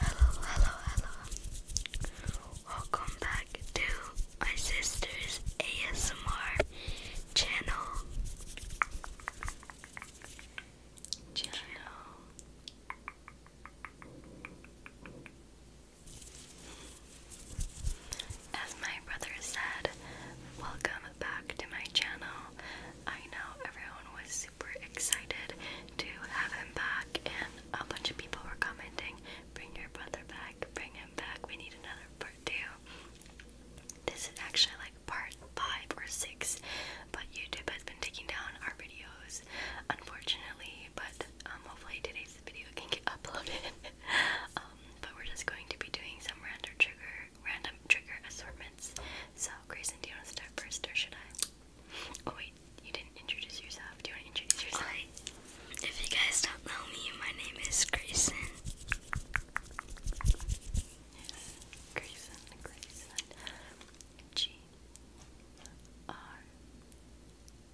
Hello, hello, hello. Welcome back to my sister's ASMR channel. Channel. As my brother said, welcome back to my channel. I know everyone was super excited to have him back, and a bunch of people were commenting, Bring your brother back, bring him back, we need another part two. This is actually like part five or six, but YouTube has been taking down our videos, unfortunately. But um, hopefully today's video can get uploaded. Um, but we're just going to be doing some random trigger random trigger assortments. So, Grayson, do you want to start first or should I? Oh, wait, you didn't introduce yourself. Do you want to introduce yourself? If you guys don't know me, my name is Grayson. G R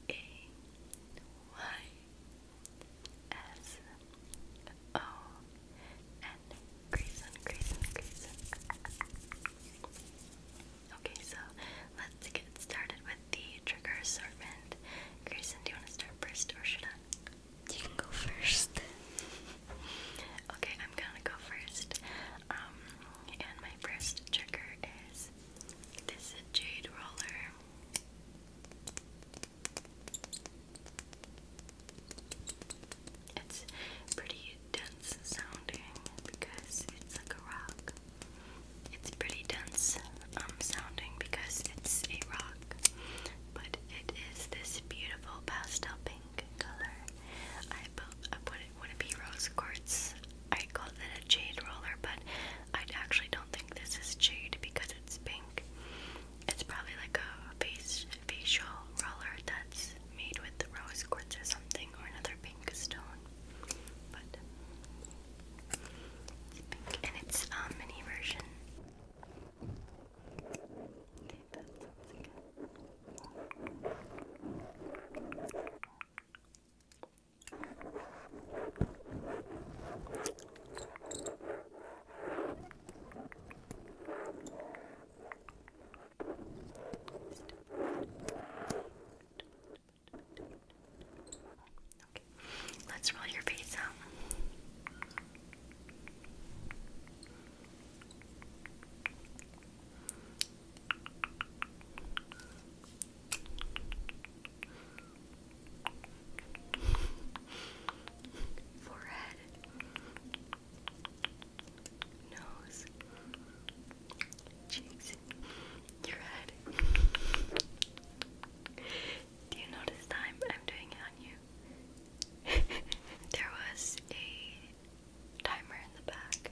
A Y S O N Grayson, Grayson, Grayson. Okay, so let's get started with the trigger assortment. Grayson, do you want to start first or should I? You can go first. okay, I'm gonna go first. Um, and my first trigger is this jade roller. It's pretty dense sounding because it's like a rock. It's pretty dense um, sounding because it's a rock, but it is this beautiful pastel pink color. I put, I put it would it be rose quartz? I called it a jade roller, but I actually don't think this is jade because it's pink. It's probably like a face facial roller that's made with the rose quartz or something or another pink stone. But it's pink and it's a um, mini version. Okay, let's roll your face out. Okay forehead, nose, cheeks, your head. Do you notice time I'm doing it on you? there was a timer in the back,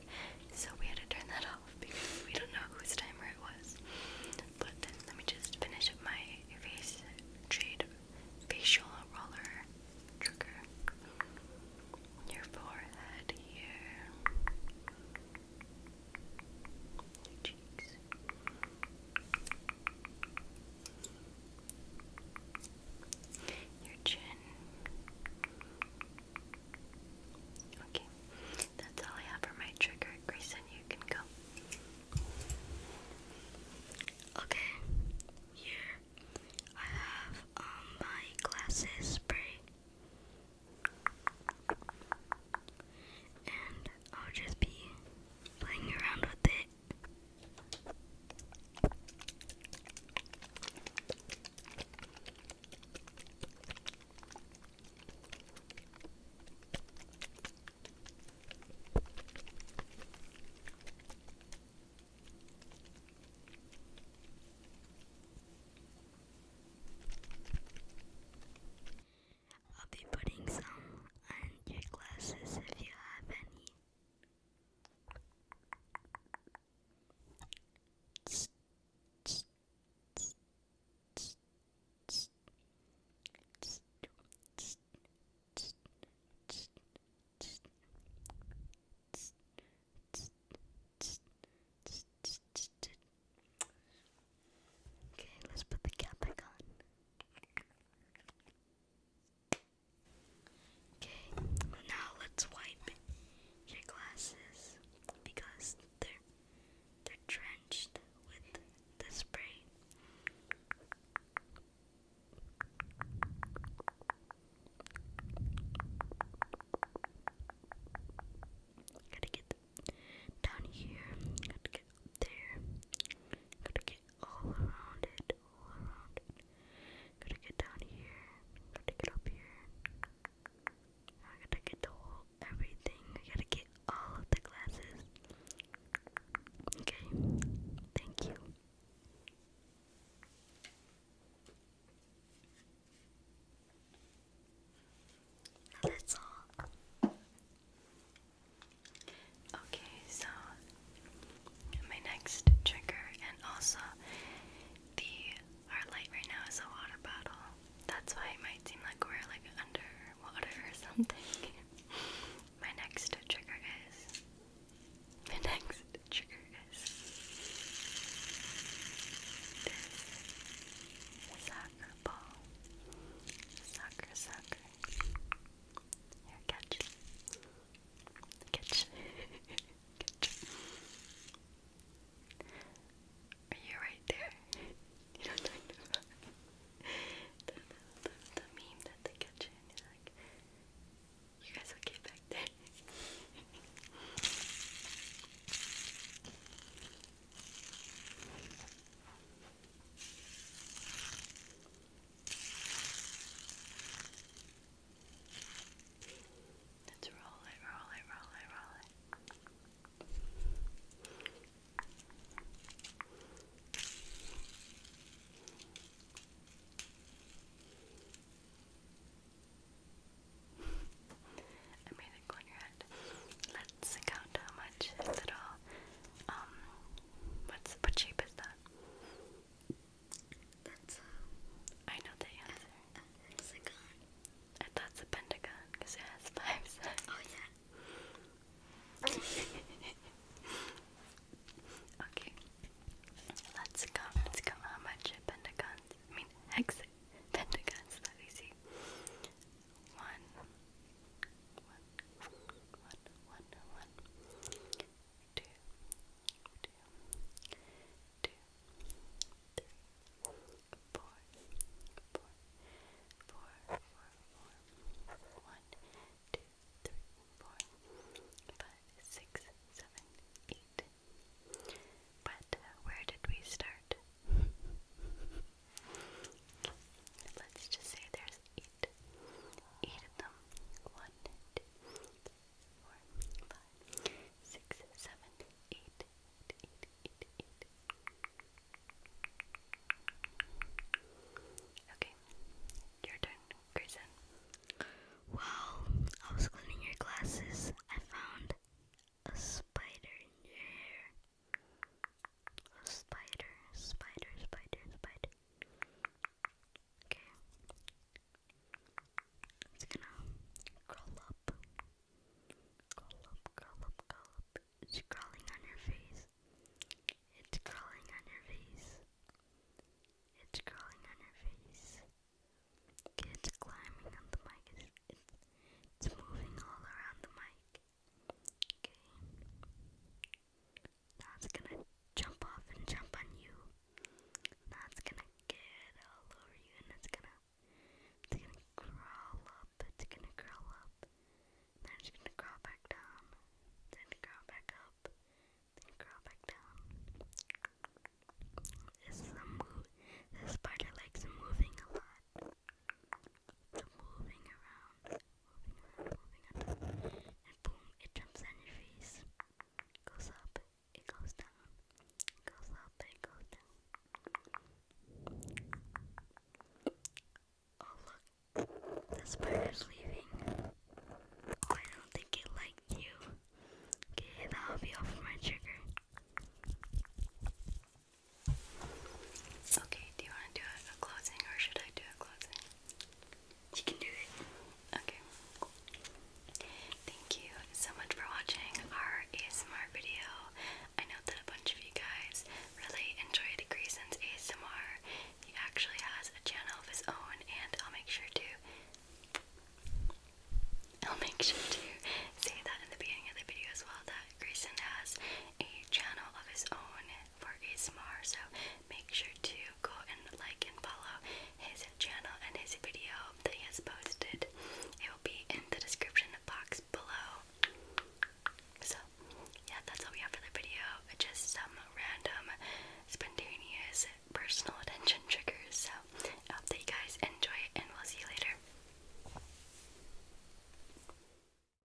so we had to turn that off because we don't know whose timer it was but then let me just finish my face trade facial roller trigger. Your forehead here, your cheeks. Your chin. Okay, that's all I have for my trigger. Grayson, you can go. Okay, here I have um, my glasses spray, and I'll just be playing around with it. I'll be putting some on your glasses if you have any. Okay, let's put the cap back on. Okay, now let's wipe your glasses because they're they're drenched with the spray. Gotta get down here. Gotta get there. Gotta get all around it. All around it. Gotta get down here. Gotta get up here. I gotta get the everything. I gotta get all of the glasses. Okay, thank you. That's all. Okay, so my next trigger, and also the our light right now is a water bottle. That's why it might seem like we're like underwater or something. My next trigger is. My next trigger is. soccer ball. Soccer, soccer. catch. Catch. catch. Are you right there? you know what i about? the, the, meme that they catch you guys okay back there? Let's roll it, roll it, roll it, roll it. I made it go on your head. Let's count how much it's at all. Um, what's what shape is that? That's a... I know the answer. A, a hexagon. I thought it's a pentagon because it has five sides. Oh yeah. okay. Let's go. Let's go. How much pentagons? I mean hex pentagons that we see. One, one, one, one, one, two, two, two, three, four, four, four, four, four, four, one, two, three, four, five, six, seven, eight. But where did we start? Let's just say there's eight. Eight of them. One, two, three, four, five, six, seven, eight, eight, eight, eight, eight. Okay, your turn, Grayson. While I was cleaning your glasses, I found a spider in your hair. A spider, spider, spider, spider. Okay. It's gonna curl up, curl up, curl up, curl up. It's crawling on your face. It's crawling on your face. It's crawling on your face. It's climbing on the mic. It's, it's, it's moving all around the mic. Okay. That's gonna jump off and jump on you. That's gonna get all over you and it's gonna it's gonna crawl up, it's gonna crawl up, then it's gonna crawl back down, then crawl back up, then crawl back down. This is a move this spider likes moving a lot. So moving around and boom, it jumps on your face. Goes up, it goes down, goes up, it goes down. Oh look, the spider's leaving. I don't think it liked you. Okay, that'll be all for my trigger. Okay, do you want to do a closing or should I do a closing? You can do it. Okay. Thank you so much for watching our ASMR video. I know that a bunch of you guys really enjoyed Grayson's ASMR. He actually has a channel of his own, and I'll make sure to. I'll make sure to say that in the beginning of the video as well that Grayson has a channel of his own for his more, so make sure to go and like and follow his channel and his video that he has posted. It will be in the description box below. So, yeah, that's all we have for the video. Just some random, spontaneous personal attention triggers. So, I hope that you guys enjoy it, and we'll see you later.